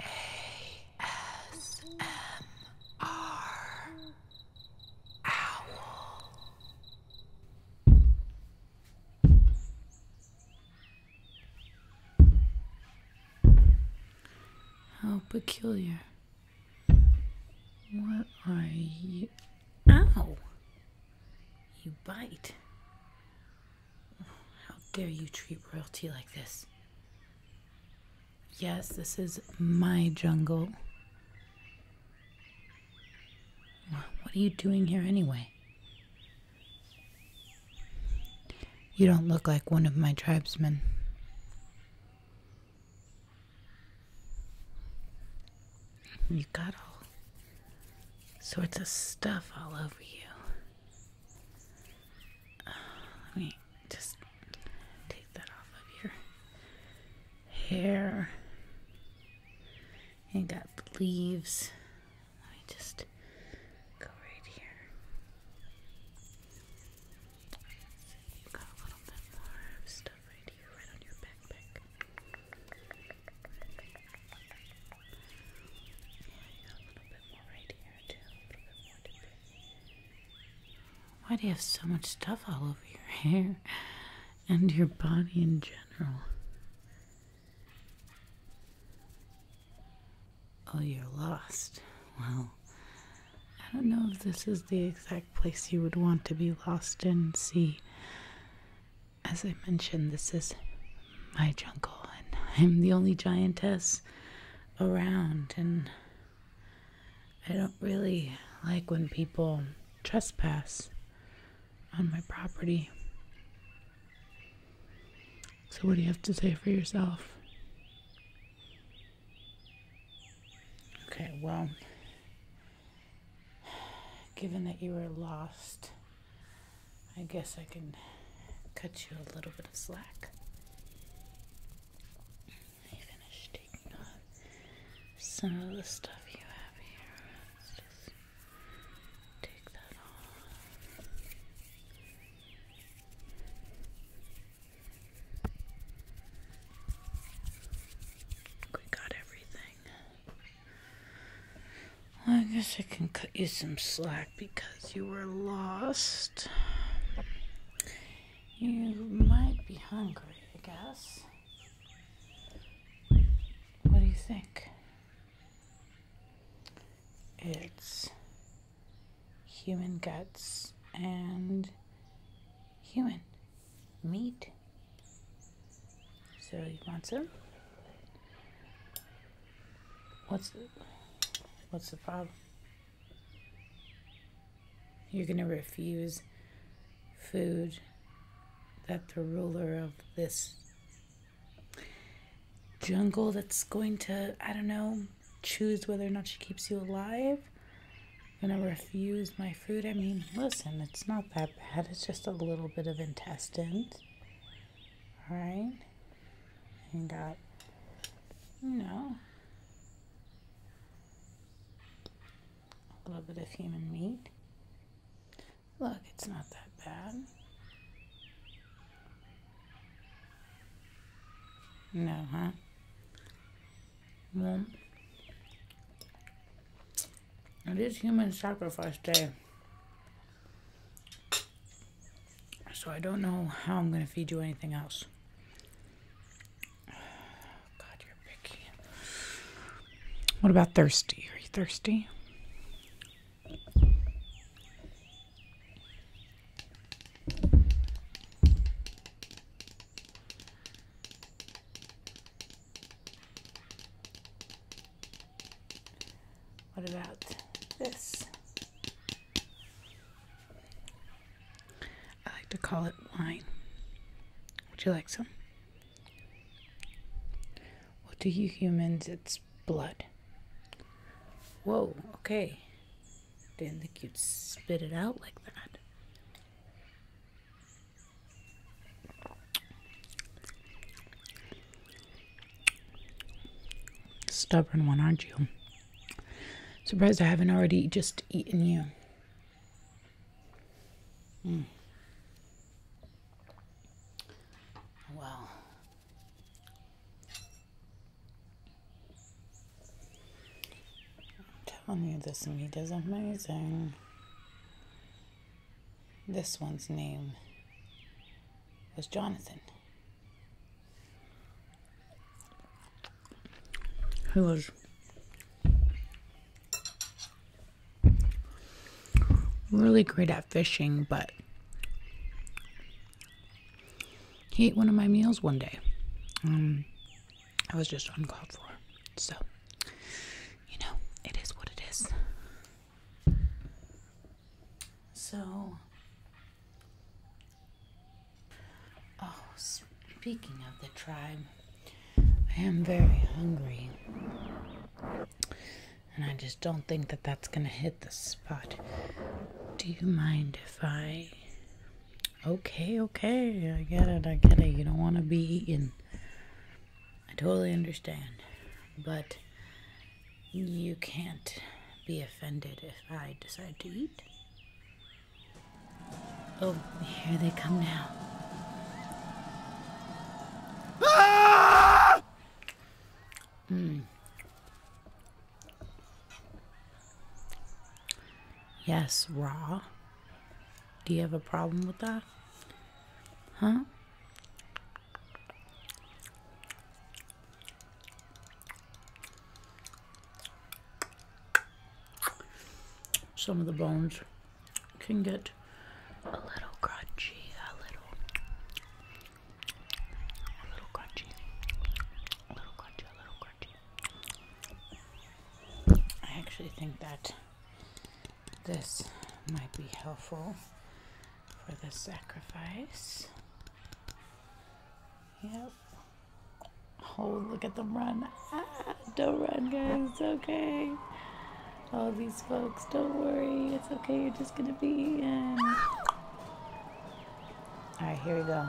ASMR Owl. How peculiar. What are you? Ow! You bite. How dare you treat royalty like this? Yes, this is my jungle. What are you doing here anyway? You don't look like one of my tribesmen. You got all sorts of stuff all over you. Uh, let me just take that off of your hair. You got leaves. Let me just go right here. got a little bit more stuff right here, right on your backpack. Why do you have so much stuff all over your hair and your body in general? Oh, you're lost. Well, I don't know if this is the exact place you would want to be lost in. See, as I mentioned, this is my jungle, and I'm the only giantess around, and I don't really like when people trespass on my property. So, what do you have to say for yourself? Okay, well, given that you were lost I guess I can cut you a little bit of slack. I finished taking off some of the stuff you have here. Let's just take that off. We got everything. I guess I can cut you some slack because you were lost. You might be hungry, I guess. What do you think? It's human guts and human meat. So you want some? What's the, what's the problem? You're going to refuse food that the ruler of this jungle that's going to, I don't know, choose whether or not she keeps you alive. I'm gonna refuse my food. I mean, listen, it's not that bad. It's just a little bit of intestines. All right? And got, you know, a little bit of human meat. Look, it's not that bad. No, huh? Warm. It is human sacrifice day. So I don't know how I'm going to feed you anything else. God, you're picky. What about thirsty? Are you thirsty? What about this? I like to call it wine. Would you like some? Well, to you humans, it's blood. Whoa, okay. Didn't think you'd spit it out like that. Stubborn one, aren't you? Surprised I haven't already just eaten you. Hmm. Well. I'm telling you, this meat is amazing. This one's name was Jonathan, who was really great at fishing, but he ate one of my meals one day. Um, I was just uncalled for. So, you know, it is what it is. So, oh, speaking of the tribe, I am very hungry. And I just don't think that that's going to hit the spot. Do you mind if I. Okay, okay, I get it, I get it. You don't want to be eaten. I totally understand, but you can't be offended if I decide to eat. Oh, here they come now. Ah! Mm. Yes, raw. Do you have a problem with that? Huh? Some of the bones can get a little crunchy, a little, crunchy, a little crunchy, a little crunchy. I actually think that this might be helpful for the sacrifice. Yep. Oh, look at them run. Ah, don't run, guys. It's okay. All these folks, don't worry. It's okay. You're just going to be in. All right, here we go.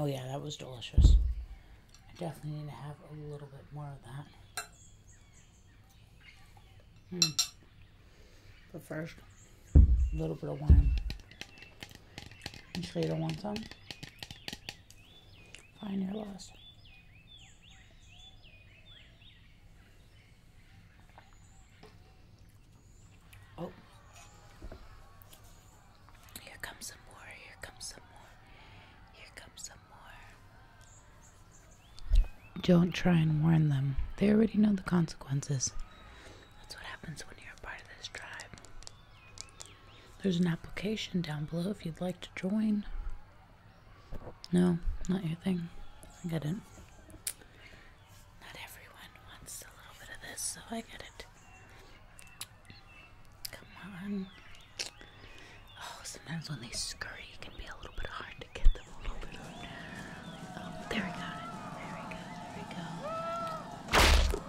Oh yeah, that was delicious. I definitely need to have a little bit more of that. Hmm. But first, a little bit of wine. You sure you don't want some? Find your loss. Oh, here comes some more. Here comes some more. Here comes some more. Don't try and warn them, they already know the consequences. That's what happens when you're a part of this tribe. There's an application down below if you'd like to join. No, not your thing. I get it. Not everyone wants a little bit of this, so I get it. Come on. Oh, sometimes when they scurry, it can be a little bit hard to get them a little Oh, there we got it. There we go. There we go.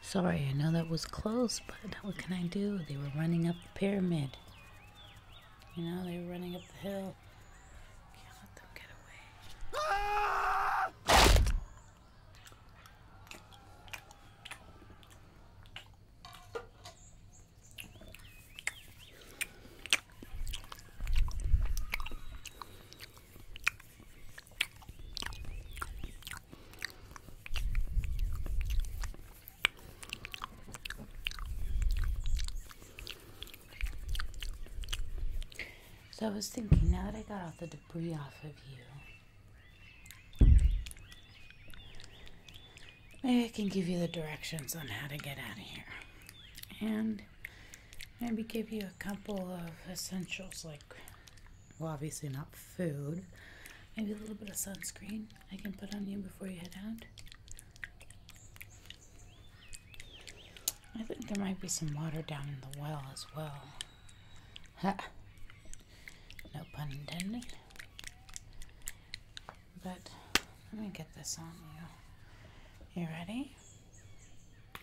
Sorry, I know that was close, but what can I do? They were running up the pyramid. You know, they were running up the hill. Can't let them get away. So I was thinking, now that I got all the debris off of you, maybe I can give you the directions on how to get out of here. And maybe give you a couple of essentials like well obviously not food maybe a little bit of sunscreen i can put on you before you head out i think there might be some water down in the well as well no pun intended but let me get this on you you ready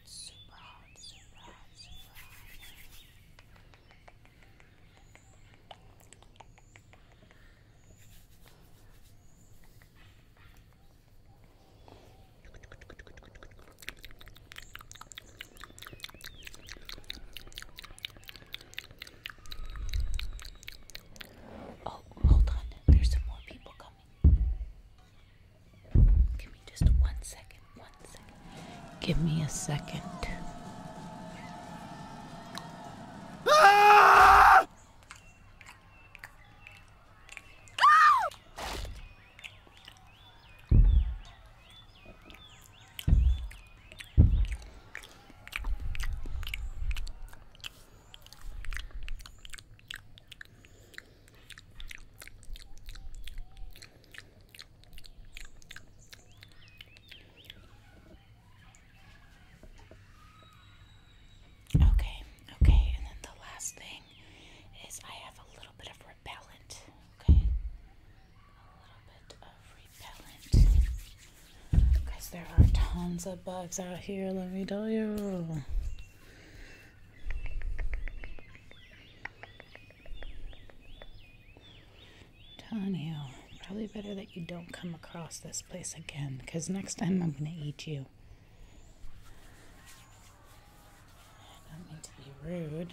it's super hot, Oh, hold on, there's some more people coming. Give me just one second. One second. Give me a second. Ah! Ah! Okay, okay, and then the last thing is I have a little bit of repellent. Okay, a little bit of repellent because there are tons of bugs out here, let me tell you telling probably better that you don't come across this place again, because next time I'm going to eat you. don't be rude.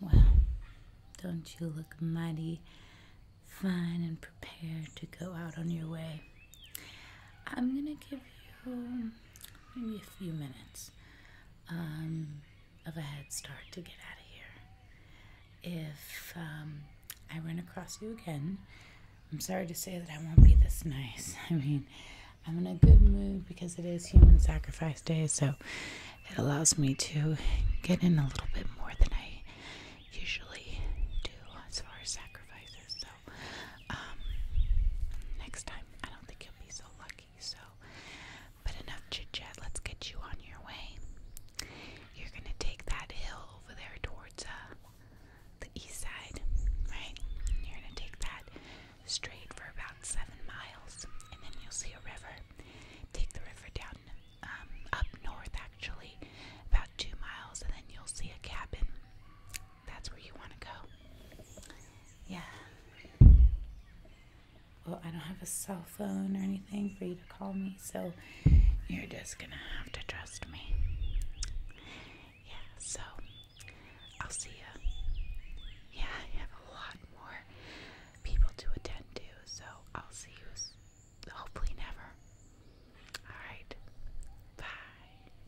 Well, don't you look mighty fine and prepared to go out on your way? I'm gonna give you maybe a few minutes um, of a head start to get out of here. If um, I run across you again, I'm sorry to say that I won't be this nice. I mean, I'm in a good mood because it is human sacrifice day, so it allows me to get in a little bit more than I usually do as far as sacrifices. So, um, next time, I don't think you'll be so lucky. So, but enough chit chat, let's get you on your way. You're gonna take that hill over there towards, uh, the east side, right? You're gonna take that straight for about seven miles, and then you'll see a river. Take the river down, um, up north actually, about two miles, and then you'll see a cabin. That's where you want to go. Yeah. Well, I don't have a cell phone or anything for you call me, so you're just gonna have to trust me. Yeah, so I'll see ya. Yeah, I have a lot more people to attend to, so I'll see you hopefully never. Alright, bye.